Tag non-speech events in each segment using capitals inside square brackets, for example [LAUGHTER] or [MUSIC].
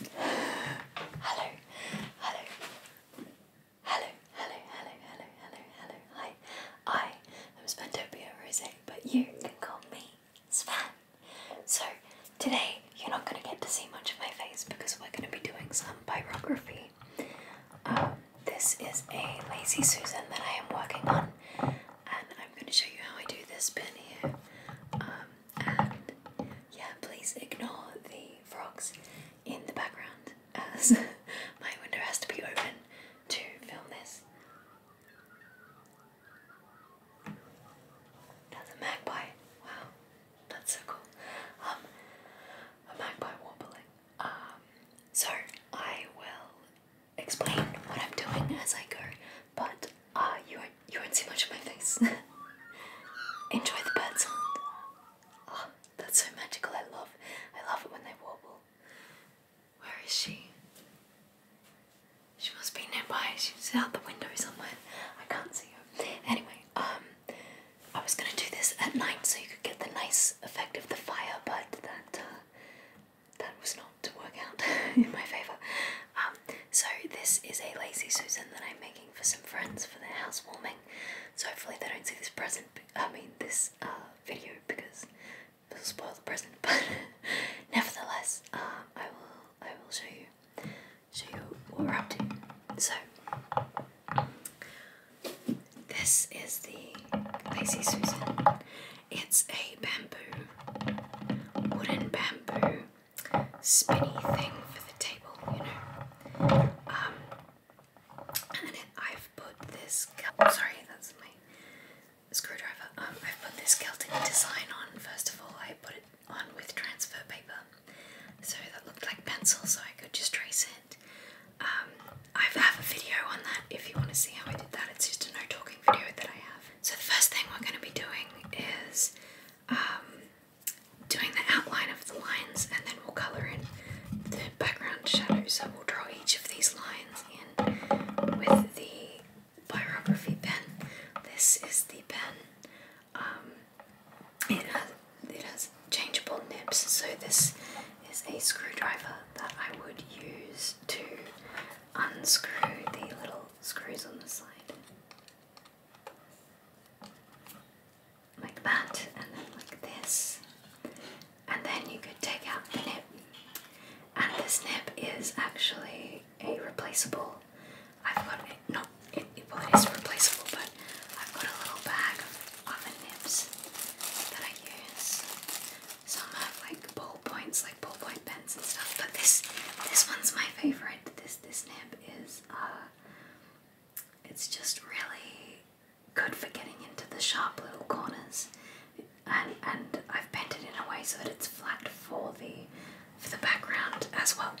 Hello, hello, hello, hello, hello, hello, hello, hello. Hi, I am Spendopia Rose, but you can call me Sven. So today you're not going to get to see much of my face because we're going to be doing some biography. Um, this is a Lazy Susan that I am working on, and I'm going to show you how I do this bit here. Um, and yeah, please ignore the frogs in the background as [LAUGHS] my window has to be open to film this. That's a magpie. Wow, that's so cool. Um, a magpie warbling. Um, so I will explain what I'm doing as I go, but Ah, you won't, you won't see much of my face. [LAUGHS] Enjoy the bird sound. Oh, ah, that's so magical. I love, I love it when they wobble. Where is she? She must be nearby. She's out the window somewhere. I can't see her. Anyway, um, I was gonna do this at night so you could get the nice effect of the fire, but that uh, that was not to work out [LAUGHS] in my favor. Um, so this is a lazy Susan that I'm making for some friends for their housewarming. So hopefully they don't see this present. I mean this uh, video because it will spoil the present. [LAUGHS] But nevertheless, um, I will. I will show you. Show you what we're up to. So this is the lazy Susan. It's a bamboo, wooden bamboo spinny thing for the table, you know. Um, and I've put this. Oh, sorry, that's my screwdriver. Um, I've put this Celtic design on. First of all, I put it on with transfer paper, so that looked like pencil, so I could just trace it. Um, I have a video on that if you want to see how I did that. It's just a no talking video that I have. So the first thing we're going to be doing is um, doing the outline of the lines and then we'll colour in the background shadows. So we'll draw each of these lines in with the pyrography pen. This is the pen. Um, it, has, it has changeable nibs, so this is a screwdriver that I would use to unscrew the little screws on the slide like that, and then like this, and then you could take out the nib. And this nib is actually a replaceable. I've got it. No, it is replaceable, but I've got a little bag of other nibs that I use. Some have like ball points, like ballpoint pens and stuff. But this, this one's my favorite. This this nib is uh, it's just really good for getting into the sharp little corners, and and I've bent it in a way so that it's flat for the for the background as well.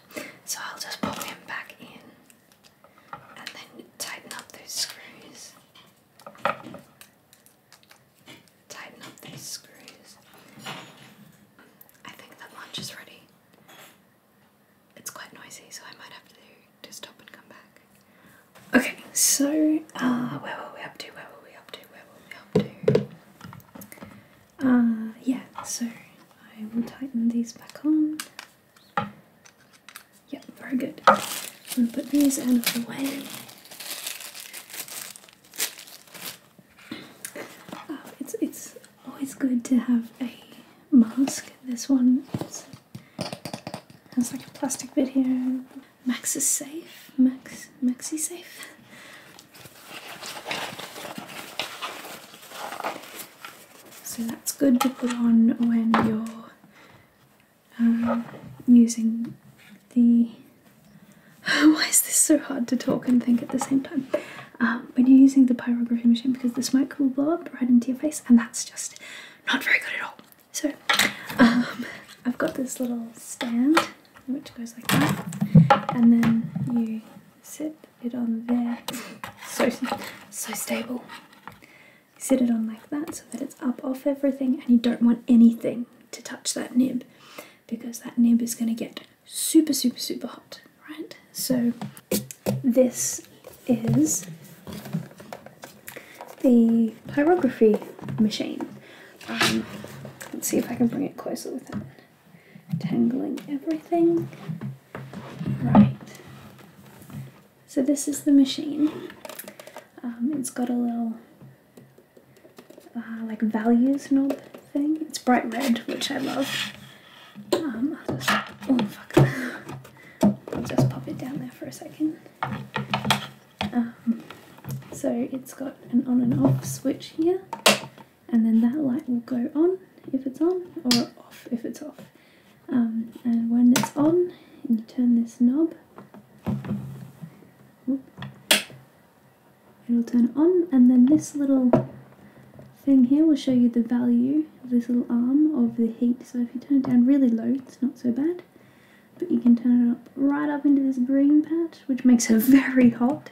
So I'll just pop him back in, and then tighten up those screws. Tighten up those screws. I think that lunch is ready. It's quite noisy, so I might have to, to stop and come back. Okay, so uh, where were we up to? Where were we up to? Where were we up to? Uh, yeah, so I will tighten these back on. Yep, very good. I'm put these out of the way. Oh, it's, it's always good to have a mask. This one is, has like a plastic bit here. Max is safe. Max, Maxi safe. So that's good to put on when you're um, using the. [SIGHS] Why is this so hard to talk and think at the same time? Um, when you're using the pyrography machine because the smoke will blow up right into your face and that's just not very good at all. So um, I've got this little stand which goes like that and then you sit it on there. [LAUGHS] So, so stable. You sit it on like that so that it's up off everything and you don't want anything to touch that nib because that nib is going to get super, super, super hot, right? So this is the pyrography machine. Um, let's see if I can bring it closer without tangling everything. Right. So this is the machine. Um, it's got a little uh, like values knob thing. It's bright red, which I love. Um, oh, I'll just, pop it down there for a second. Um, so it's got an on and off switch here, and then that light will go on if it's on, or off if it's off. Um, and when it's on, you turn this knob it'll turn on and then this little thing here will show you the value of this little arm of the heat so if you turn it down really low it's not so bad but you can turn it up right up into this green patch which makes it [LAUGHS] very hot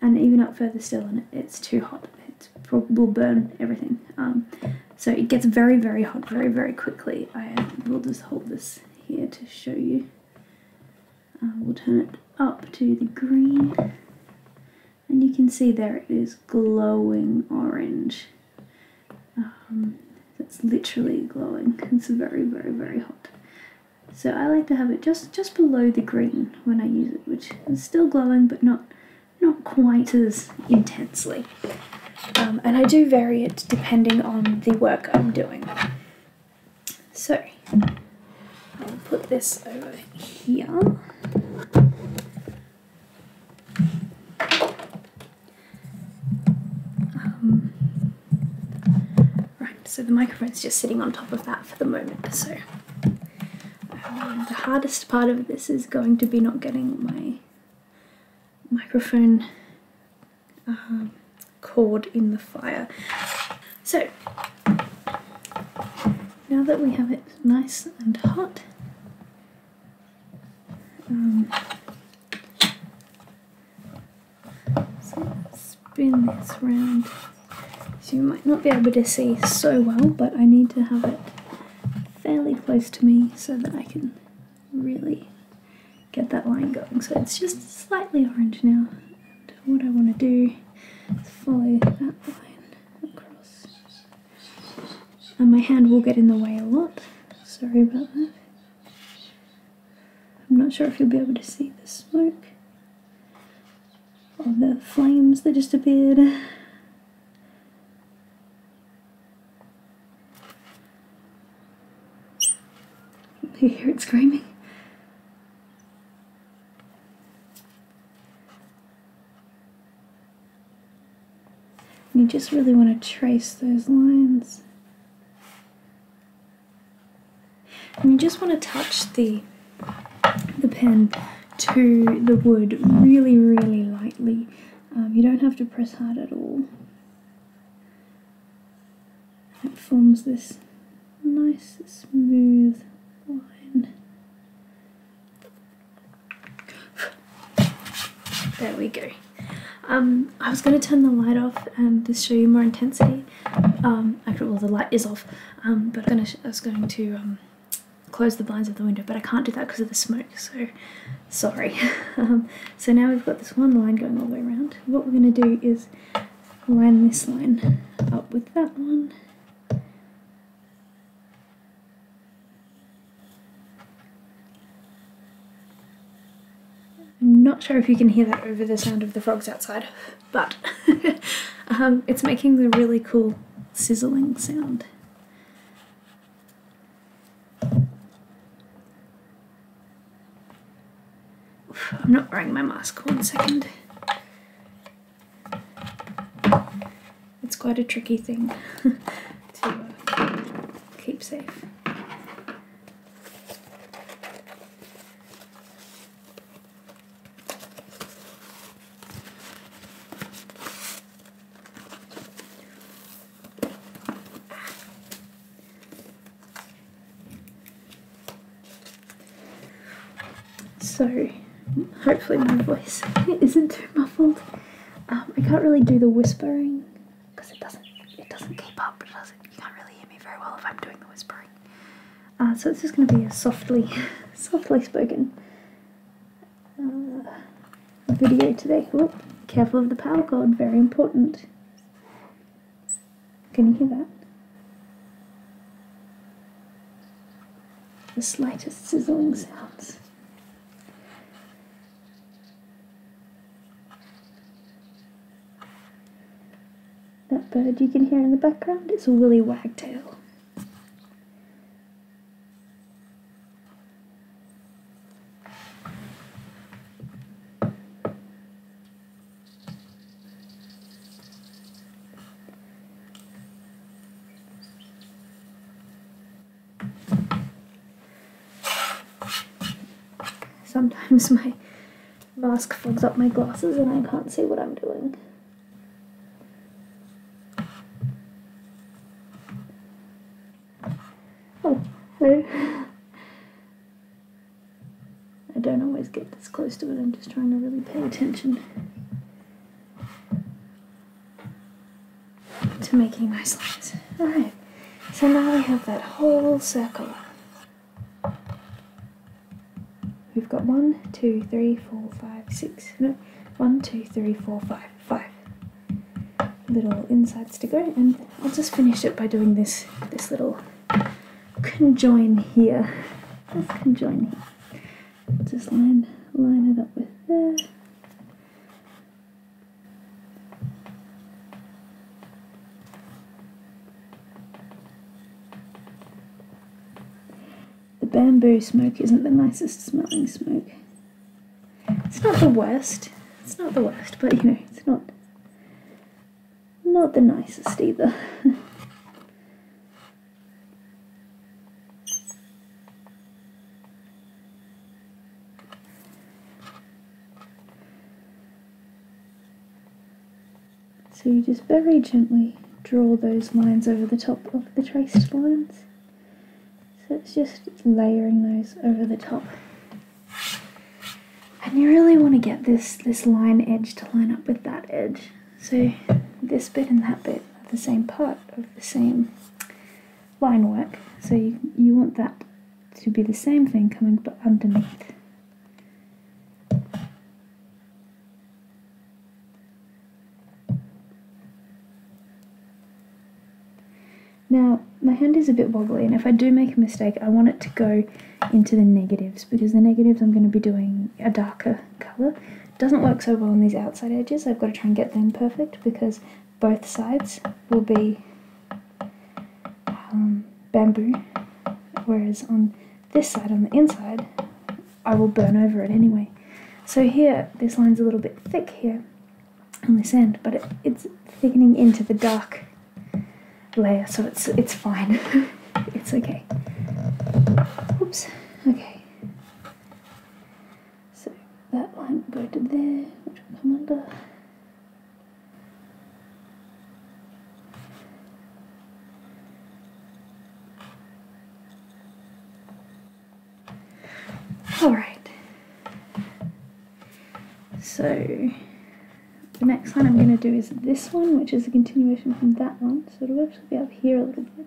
and even up further still and it's too hot it will burn everything um, so it gets very very hot very very quickly I will just hold this here to show you uh, we'll turn it up to the green. And you can see there it is glowing orange. it's um, literally glowing. [LAUGHS] It's very, very, very hot. So I like to have it just, just below the green when I use it, which is still glowing but not, not quite as intensely. Um, and I do vary it depending on the work I'm doing. So I'll put this over here. Um, right, so the microphone's just sitting on top of that for the moment. So the hardest part of this is going to be not getting my microphone um, cord in the fire. So, now that we have it nice and hot, um, so spin this round. So you might not be able to see so well, but I need to have it fairly close to me so that I can really get that line going. So it's just slightly orange now. So what I want to do is follow that line across. And my hand will get in the way a lot, sorry about that. I'm not sure if you'll be able to see the smoke or the flames that just appeared. [LAUGHS] You hear it screaming you just really want to trace those lines. And you just want to touch the, the pen to the wood really, really lightly. Um, you don't have to press hard at all. It forms this nice smooth line. There we go. Um, I was going to turn the light off and just show you more intensity. Um, actually, well, the light is off, um, but I'm gonna I was going to um, close the blinds of the window, but I can't do that because of the smoke, so sorry. [LAUGHS] um, so now we've got this one line going all the way around. What we're going to do is line this line up with that one I'm not sure if you can hear that over the sound of the frogs outside, but [LAUGHS] um, it's making a really cool sizzling sound. I'm not wearing my mask, second. It's quite a tricky thing [LAUGHS] to uh, keep safe. So hopefully my voice [LAUGHS] isn't too muffled. Um, I can't really do the whispering because it doesn't it doesn't keep up. doesn't you can't really hear me very well if I'm doing the whispering. Uh, so this is going to be a softly [LAUGHS] softly spoken uh, video today. careful of the power cord, very important. Can you hear that? The slightest sizzling sounds. That bird you can hear in the background its a willy wagtail. Sometimes my mask fogs up my glasses and I can't see what I'm doing. Oh, hello. I don't always get this close to it, I'm just trying to really pay attention to making nice lines. Alright, so now we have that whole circle. We've got one, two, three, four, five, six, no, one, two, three, four, five, five little insides to go and I'll just finish it by doing this, this little conjoin here. conjoin here. Just line line it up with there. The bamboo smoke isn't the nicest smelling smoke. It's not the worst. It's not the worst, but you know, it's not not the nicest either. [LAUGHS] so you just very gently draw those lines over the top of the traced lines. So it's just layering those over the top. And you really want to get this, this line edge to line up with that edge. So this bit and that bit are the same part of the same line work. So you, you want that to be the same thing coming but underneath. Now, my hand is a bit wobbly and if I do make a mistake, I want it to go into the negatives because the negatives I'm going to be doing a darker colour. Doesn't work so well on these outside edges, I've got to try and get them perfect because both sides will be um, bamboo, whereas on this side, on the inside, I will burn over it anyway. So here, this line's a little bit thick here on this end, but it's thickening into the dark layer, so it's, it's fine. [LAUGHS] It's okay. Oops. Okay. So that line will go to there, which will come under. Alright. So the next one I'm going to do is this one, which is a continuation from that one down, so it'll actually be up here a little bit.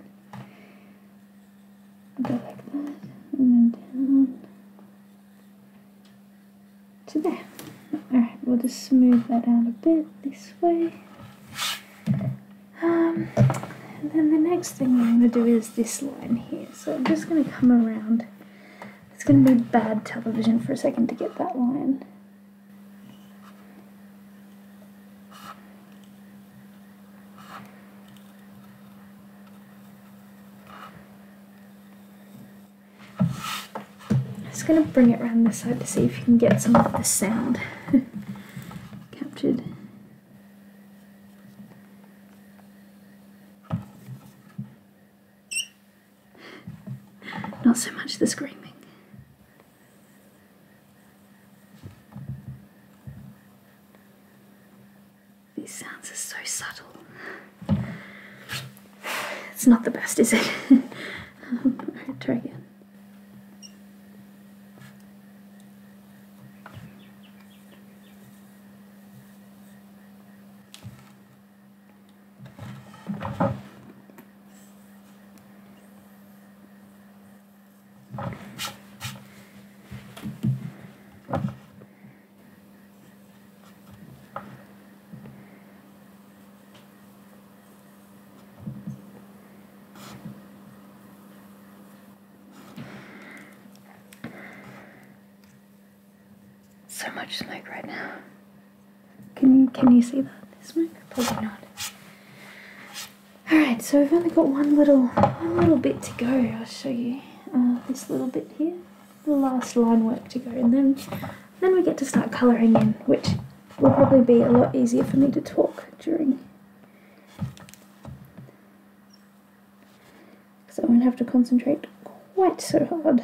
Go like that, and then down to there. Alright, we'll just smooth that out a bit this way. Um, and then the next thing I'm going to do is this line here. So I'm just going to come around. It's going to be bad television for a second to get that line just going to bring it around this side to see if you can get some of the sound [LAUGHS] captured. [LAUGHS] Not so much the screaming. These sounds are so subtle. It's not the best, is it? um, right, [LAUGHS] try again. So much like right now. Can can you see that? This one Probably not. Alright, so we've only got one little one little bit to go. I'll show you uh, this little bit here. The last line work to go and then then we get to start colouring in, which will probably be a lot easier for me to talk during because I won't have to concentrate quite so hard.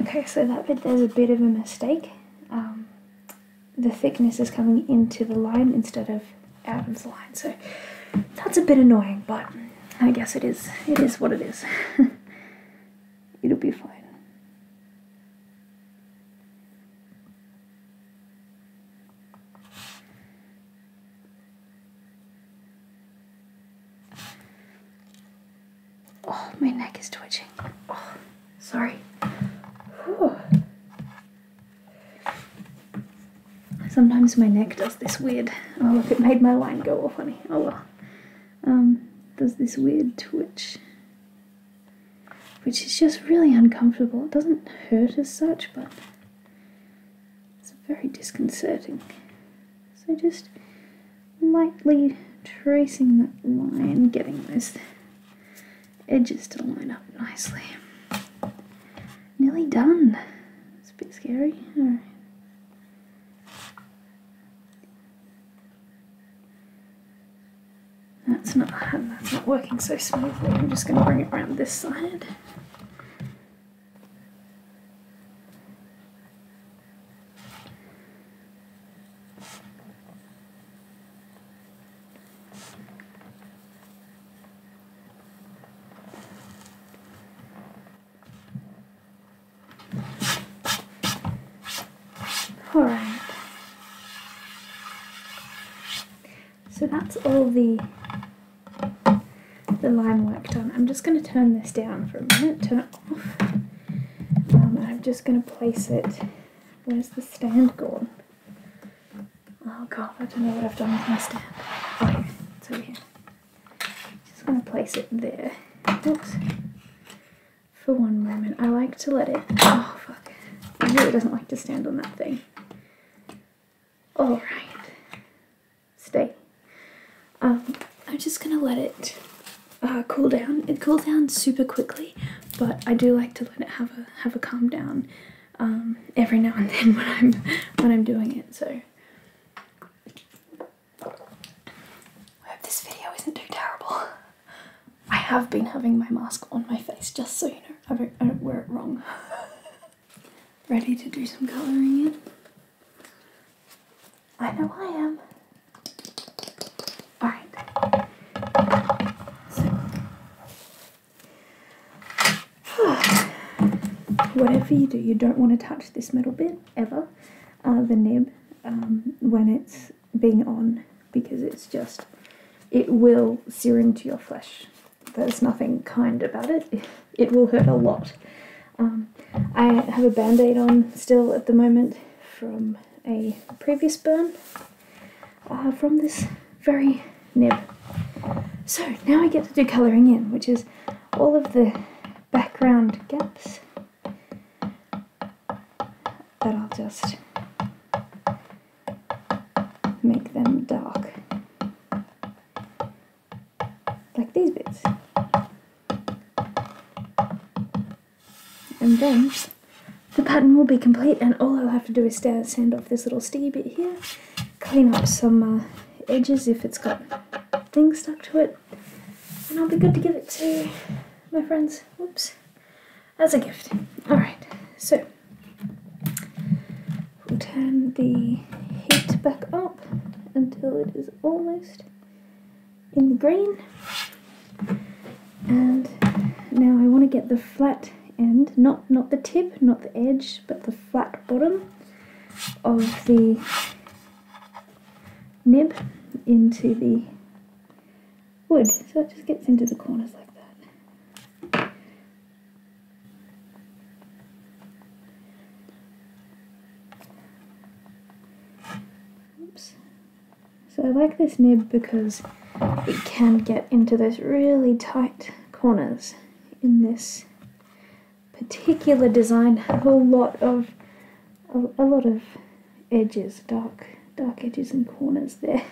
Okay, so that bit there's a bit of a mistake. Um, the thickness is coming into the line instead of out of the line, so that's a bit annoying, but I guess it is. It is what it is. [LAUGHS] It'll be fine. Oh, my neck is twitching. Oh, sorry. Sometimes my neck does this weird. Oh, look, it made my line go all funny. Oh well. Um, does this weird twitch, which is just really uncomfortable. It doesn't hurt as such, but it's very disconcerting. So just lightly tracing that line, getting those edges to line up nicely. Nearly done. It's a bit scary. that's not working so smoothly. I'm just going to bring it around this side. Alright. So that's all the the line work done. I'm just going to turn this down for a minute, turn it off. Um, I'm just going to place it. Where's the stand gone? Oh god, I don't know what I've done with my stand. Oh, here. here. Just going to place it there. Oops. For one moment. I like to let it... Oh, fuck. I really doesn't like to stand on that thing. Alright stay. Um, I'm just gonna let it uh, cool down. It cool down super quickly, but I do like to let it have a have a calm down um, every now and [LAUGHS] then when I'm when I'm doing it. So I hope this video isn't too terrible. I have been having my mask on my face just so you know I don't, I don't wear it wrong. [LAUGHS] Ready to do some colouring in. I know I am. Alright. So. [SIGHS] Whatever you do, you don't want to touch this metal bit ever, uh, the nib, um, when it's being on because it's just, it will sear into your flesh. There's nothing kind about it. [LAUGHS] it will hurt a lot. Um, I have a band-aid on still at the moment from a previous burn uh, from this very nib. So now I get to do colouring in, which is all of the background gaps that I'll just make them dark like these bits. And then the pattern will be complete and all I'll have to do is sand off this little sticky bit here, clean up some uh, edges if it's got things stuck to it, and I'll be good to give it to my friends, Oops, as a gift. Alright, so we'll turn the heat back up until it is almost in the green. And now I want to get the flat end, not, not the tip, not the edge, but the flat bottom of the nib into the wood. So it just gets into the corners like that. Oops. So I like this nib because it can get into those really tight corners in this particular design. A lot of a, a lot of edges, dark dark edges and corners there.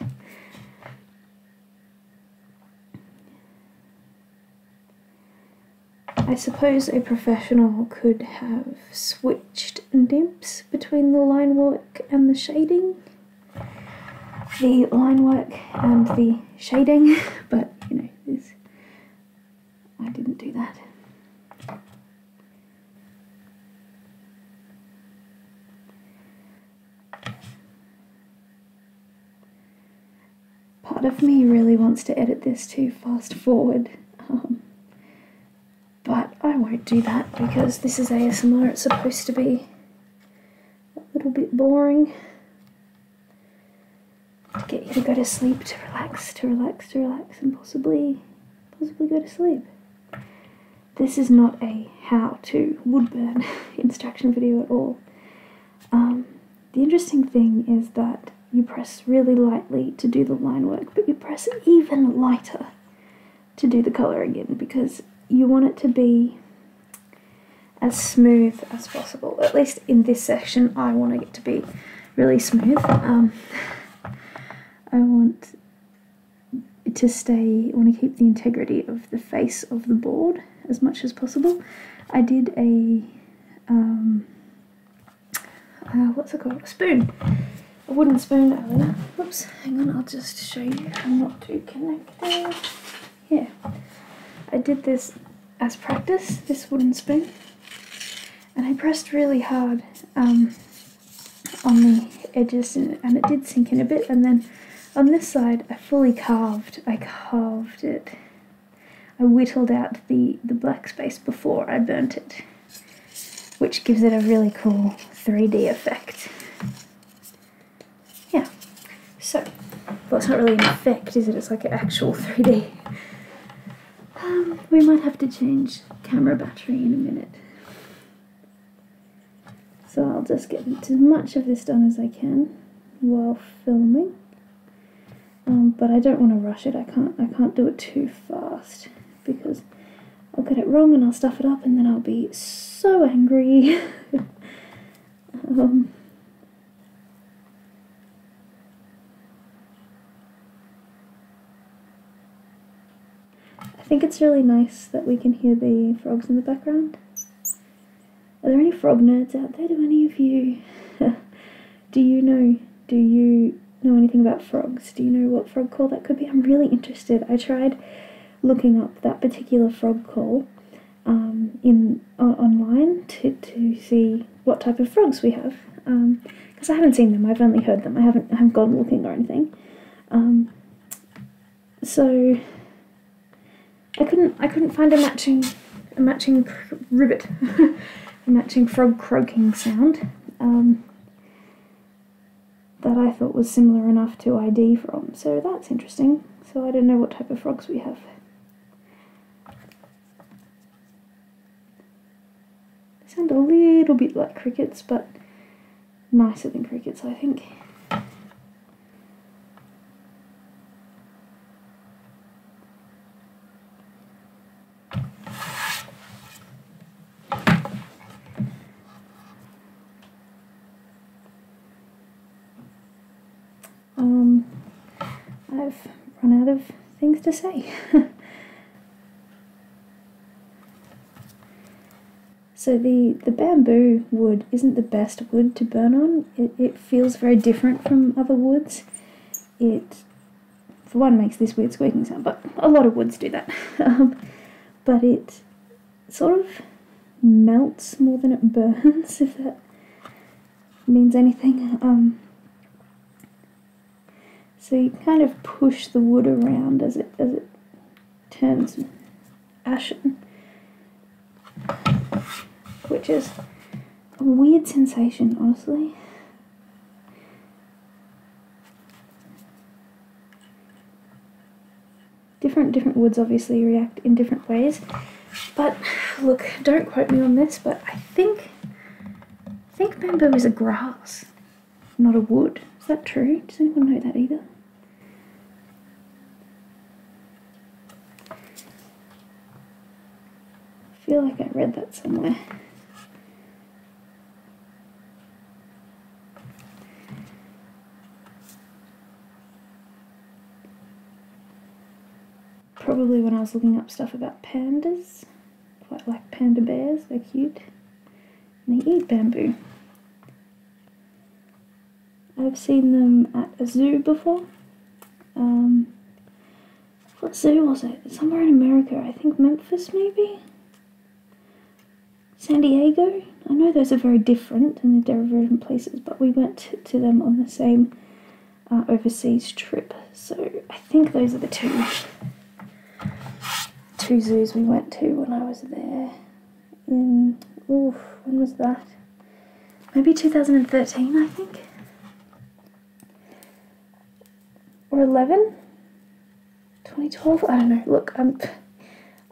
I suppose a professional could have switched nibs between the line work and the shading. The line work and the shading, [LAUGHS] but you know, this, I didn't do that part of me really wants to edit this to fast forward, um, but I won't do that because this is ASMR, it's supposed to be a little bit boring to get you to go to sleep, to relax, to relax, to relax, and possibly, possibly go to sleep. This is not a how to wood burn [LAUGHS] instruction video at all. Um, the interesting thing is that you press really lightly to do the line work, but you press even lighter to do the colour again because you want it to be as smooth as possible. At least in this session, I want it to be really smooth. Um, I want to stay, I want to keep the integrity of the face of the board as much as possible. I did a um, uh, what's it called? A spoon. A wooden spoon Oops. hang on, I'll just show you. I'm not too connected. Yeah. I did this as practice, this wooden spoon. And I pressed really hard um, on the edges and it did sink in a bit. And then on this side, I fully carved. I carved it I whittled out the, the black space before I burnt it, which gives it a really cool 3D effect. Yeah, so, well not really an effect is it, it's like an actual 3D. Um, we might have to change camera battery in a minute. So I'll just get as much of this done as I can while filming. Um, but I don't want to rush it. I can't I can't do it too fast because I'll get it wrong and I'll stuff it up and then I'll be so angry. [LAUGHS] Um, I think it's really nice that we can hear the frogs in the background. Are there any frog nerds out there? Do any of you [LAUGHS] Do you know? Do you know anything about frogs? Do you know what frog call that could be? I'm really interested. I tried looking up that particular frog call um, in online to, to see what type of frogs we have because um, I haven't seen them. I've only heard them. I haven't haven't gone looking or anything. Um, so I couldn't I couldn't find a matching a matching cr- [LAUGHS] a matching frog croaking sound um, that I thought was similar enough to ID from. So that's interesting. So I don't know what type of frogs we have. They sound a little bit like crickets, but nicer than crickets, I think. Um, I've run out of things to say. [LAUGHS] So the, the bamboo wood isn't the best wood to burn on. It, it feels very different from other woods. It for one makes this weird squeaking sound, but a lot of woods do that. [LAUGHS] Um, but it sort of melts more than it [LAUGHS] burns, if that means anything. Um, so you kind of push the wood around as it as it turns ashen, which is a weird sensation, honestly. Different different woods obviously react in different ways, but look, don't quote me on this, but I think think bamboo is a grass, not a wood. Is that true? Does anyone know that either? I feel like I read that somewhere. Probably when I was looking up stuff about pandas. Quite like panda bears, they're cute. And they eat bamboo. I've seen them at a zoo before. Um, what zoo was it? Somewhere in America. I think Memphis, maybe? San Diego? I know those are very different and they're different places, but we went to them on the same uh, overseas trip. So I think those are the two two zoos we went to when I was there. In oof, when was that? Maybe 2013, I think or 11? 2012? I don't know. Look, I'm,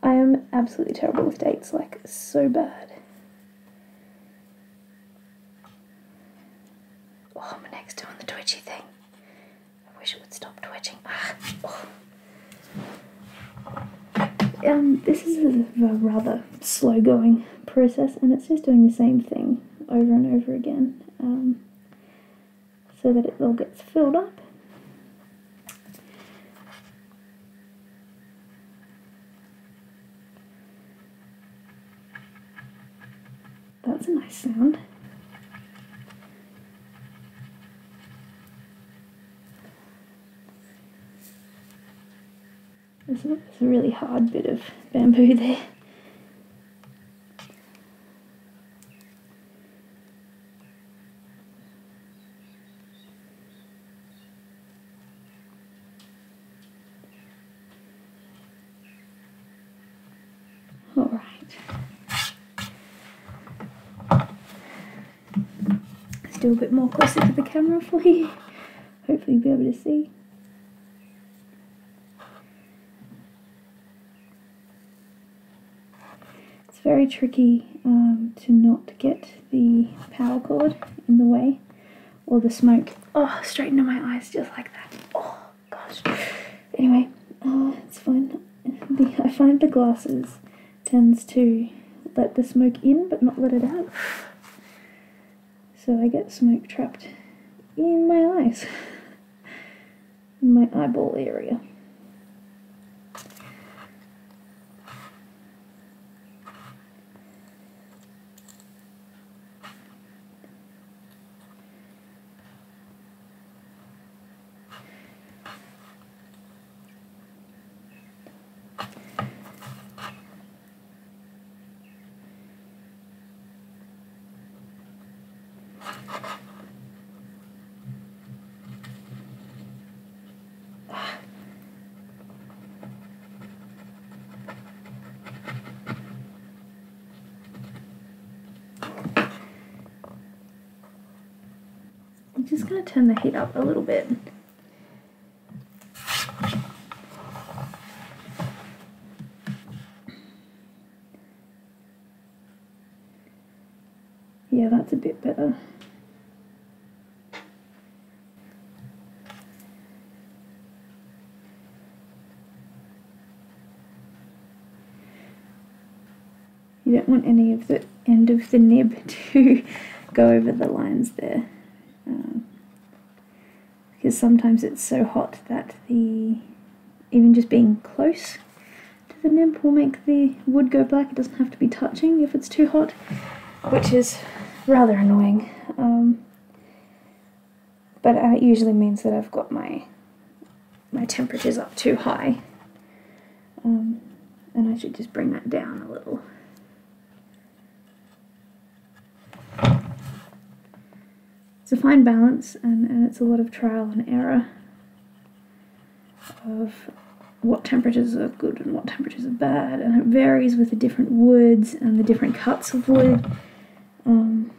I am absolutely terrible with dates, like, so bad. Oh, my neck's doing the twitchy thing. I wish it would stop twitching. Ah, oh. Um, this is a rather slow going process, and it's just doing the same thing over and over again um, so that it all gets filled up. That's a nice sound. There's a, really hard bit of bamboo there. All right. Let's do a bit more closer to the camera for you. Hopefully you'll be able to see. It's very tricky um, to not get the power cord in the way or the smoke. Oh, straight into my eyes just like that. Oh, gosh. Anyway, uh, it's fine. I find the glasses tends to let the smoke in but not let it out. So I get smoke trapped in my eyes, [LAUGHS] in my eyeball area. I'm just going to turn the heat up a little bit. Yeah, that's a bit better. You don't want any of the end of the nib [LAUGHS] to go over the lines there. Um, because sometimes it's so hot that the even just being close to the nib will make the wood go black. It doesn't have to be touching if it's too hot, which is rather annoying. Um, but it usually means that I've got my my temperatures up too high. Um, and I should just bring that down a little. It's a fine balance and, and it's a lot of trial and error of what temperatures are good and what temperatures are bad, and it varies with the different woods and the different cuts of wood. Um,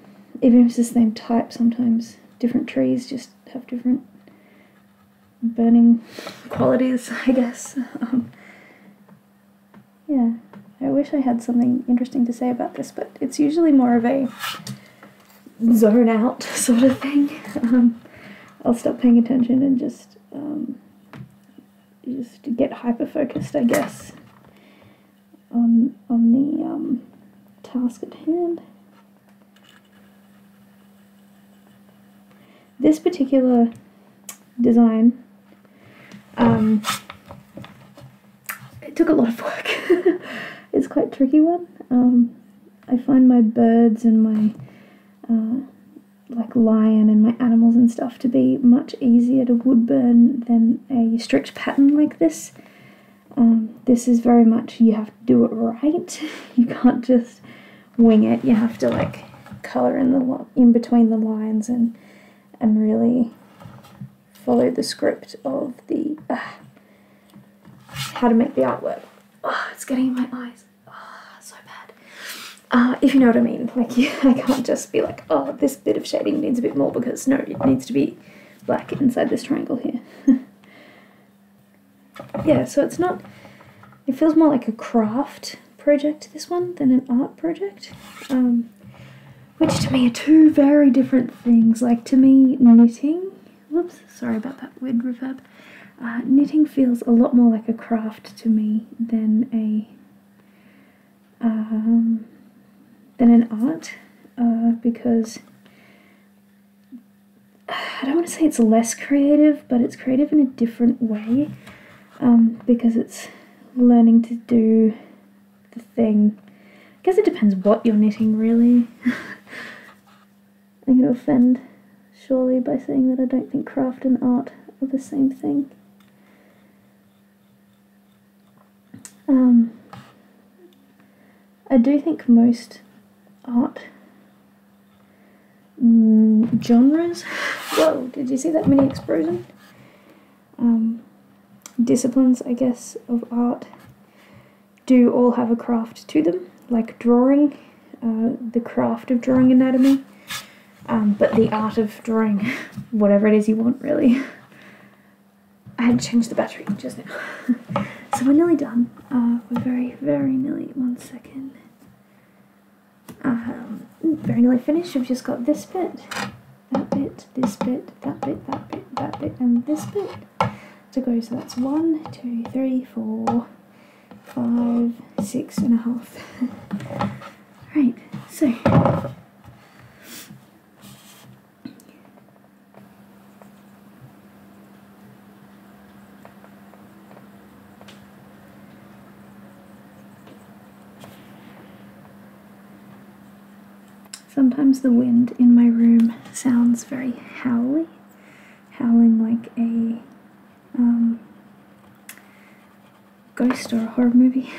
even if it's the same type, sometimes different trees just have different burning qualities, [LAUGHS] I guess. Um, yeah, I wish I had something interesting to say about this, but it's usually more of a zone out [LAUGHS] sort of thing. Um, I'll stop paying attention and just um, just get hyper focused, I guess, on on the um, task at hand. This particular design. Um, it took a lot of work. [LAUGHS] it's quite tricky one. Um, I find my birds and my uh, like lion and my animals and stuff to be much easier to woodburn than a strict pattern like this. Um, this is very much you have to do it right. [LAUGHS] you can't just wing it. You have to like color in the in between the lines and and really follow the script of the uh, how to make the artwork. Oh, it's getting in my eyes. Oh, so bad. Uh, if you know what I mean. Like, [LAUGHS] you, I can't just be like, oh, this bit of shading needs a bit more because no, it needs to be black inside this triangle here. [LAUGHS] yeah, so it's not, it feels more like a craft project, this one, than an art project. Um, which to me are two very different things. Like to me, knitting, whoops, sorry about that weird reverb. Uh, knitting feels a lot more like a craft to me than a um, than an art, uh, because I don't want to say it's less creative, but it's creative in a different way um, because it's learning to do the thing. I guess it depends what you're knitting, really. [LAUGHS] I'm going to offend, surely, by saying that I don't think craft and art are the same thing. Um, I do think most art mm, genres. [LAUGHS] Whoa, did you see that mini explosion? Um, disciplines, I guess, of art do all have a craft to them, like drawing, uh, the craft of drawing anatomy, um, but the art of drawing [LAUGHS] whatever it is you want, really. I had to change the battery just now. [LAUGHS] so we're nearly done. Uh, we're very, very nearly, one second. Um, very nearly finished. We've just got this bit that bit, this bit, that bit, that bit, that bit, and this bit to go. So that's one, two, three, four, five, six and a half. [LAUGHS] right, so Sometimes the wind in my room sounds very howly, howling like a um, ghost or a horror movie.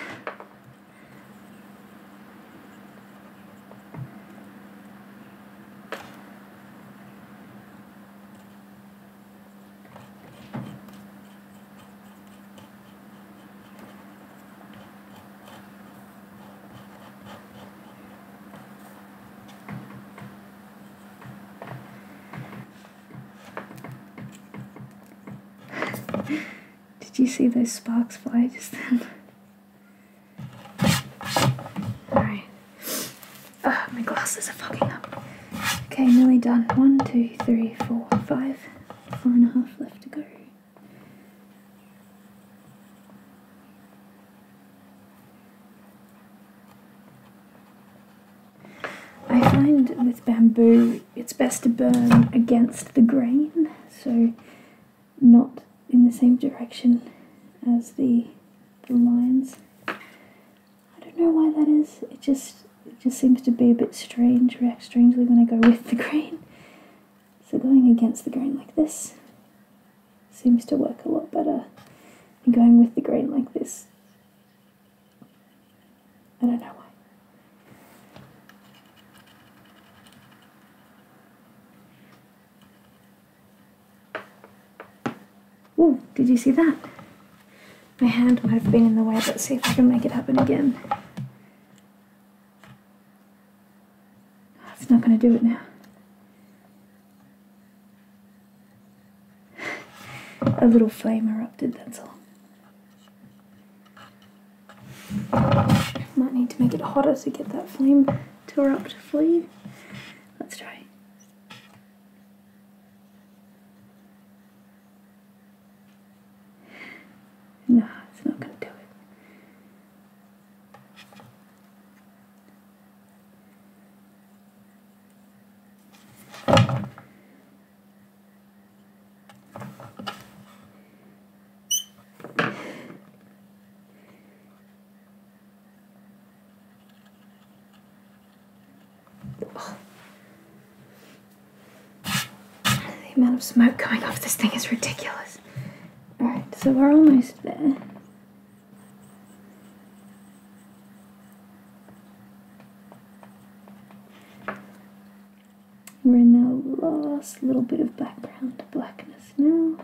Did you see those sparks fly just then? Alright. Oh, my glasses are fucking up. Okay, nearly done. One, two, three, four, five, four and a half left to go. I find with bamboo it's best to burn against the grain, so not in the same direction as the, the lines. I don't know why that is, it just it just seems to be a bit strange, react strangely when I go with the grain. So going against the grain like this seems to work a lot better than going with the grain like this. I don't know why. Whoa, did you see that? My hand might have been in the way, but see if I can make it happen again. That's not going to do it now. A little flame erupted, that's all. Might need to make it hotter to get that flame to erupt fully. Let's try. No, it's not going to do it. Oh. The amount of smoke coming off this thing is ridiculous. Alright, so we're almost there. We're in the last little bit of background blackness now.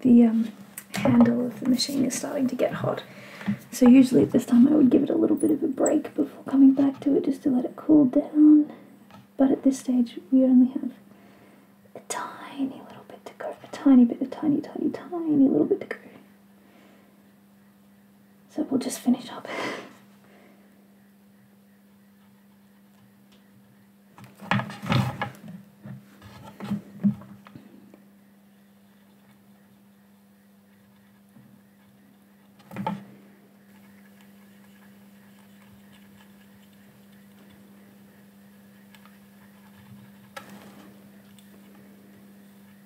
The um, handle of the machine is starting to get hot. So usually at this time I would give it a little bit of a break before coming back to it just to let it cool down. But at this stage we only have a tiny little bit to go. A tiny bit, a tiny, tiny, tiny little bit to go. So we'll just finish up.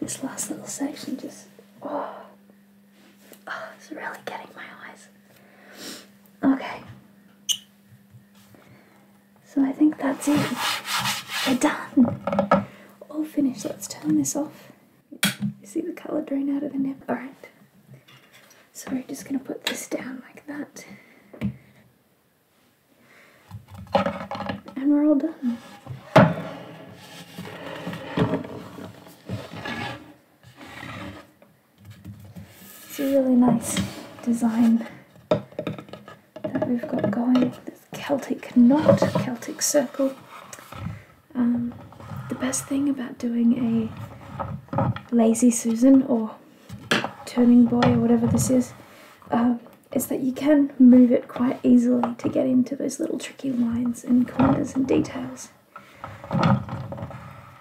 This last little section just, oh, oh, it's really getting my eyes. Okay. So I think that's it. We're done. All finished. Let's turn this off. see the colour drain out of the nib? Alright. So we're just going to put this down like that. And we're all done. It's a really nice design that we've got going. This Celtic knot, Celtic circle. Um, the best thing about doing a lazy Susan or turning boy or whatever this is, uh, is that you can move it quite easily to get into those little tricky lines and corners and details.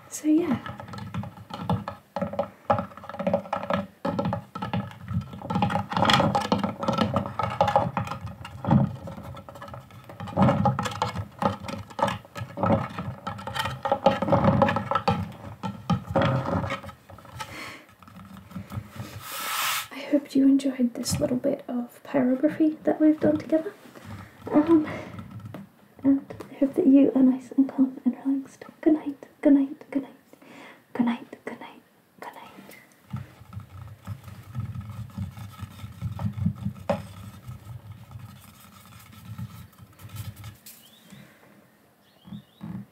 So yeah. I hope you enjoyed this little bit of pyrography that we've done together. Um, and I hope that you are nice and calm and relaxed. Good night, good night, good night, good night, good night, good night.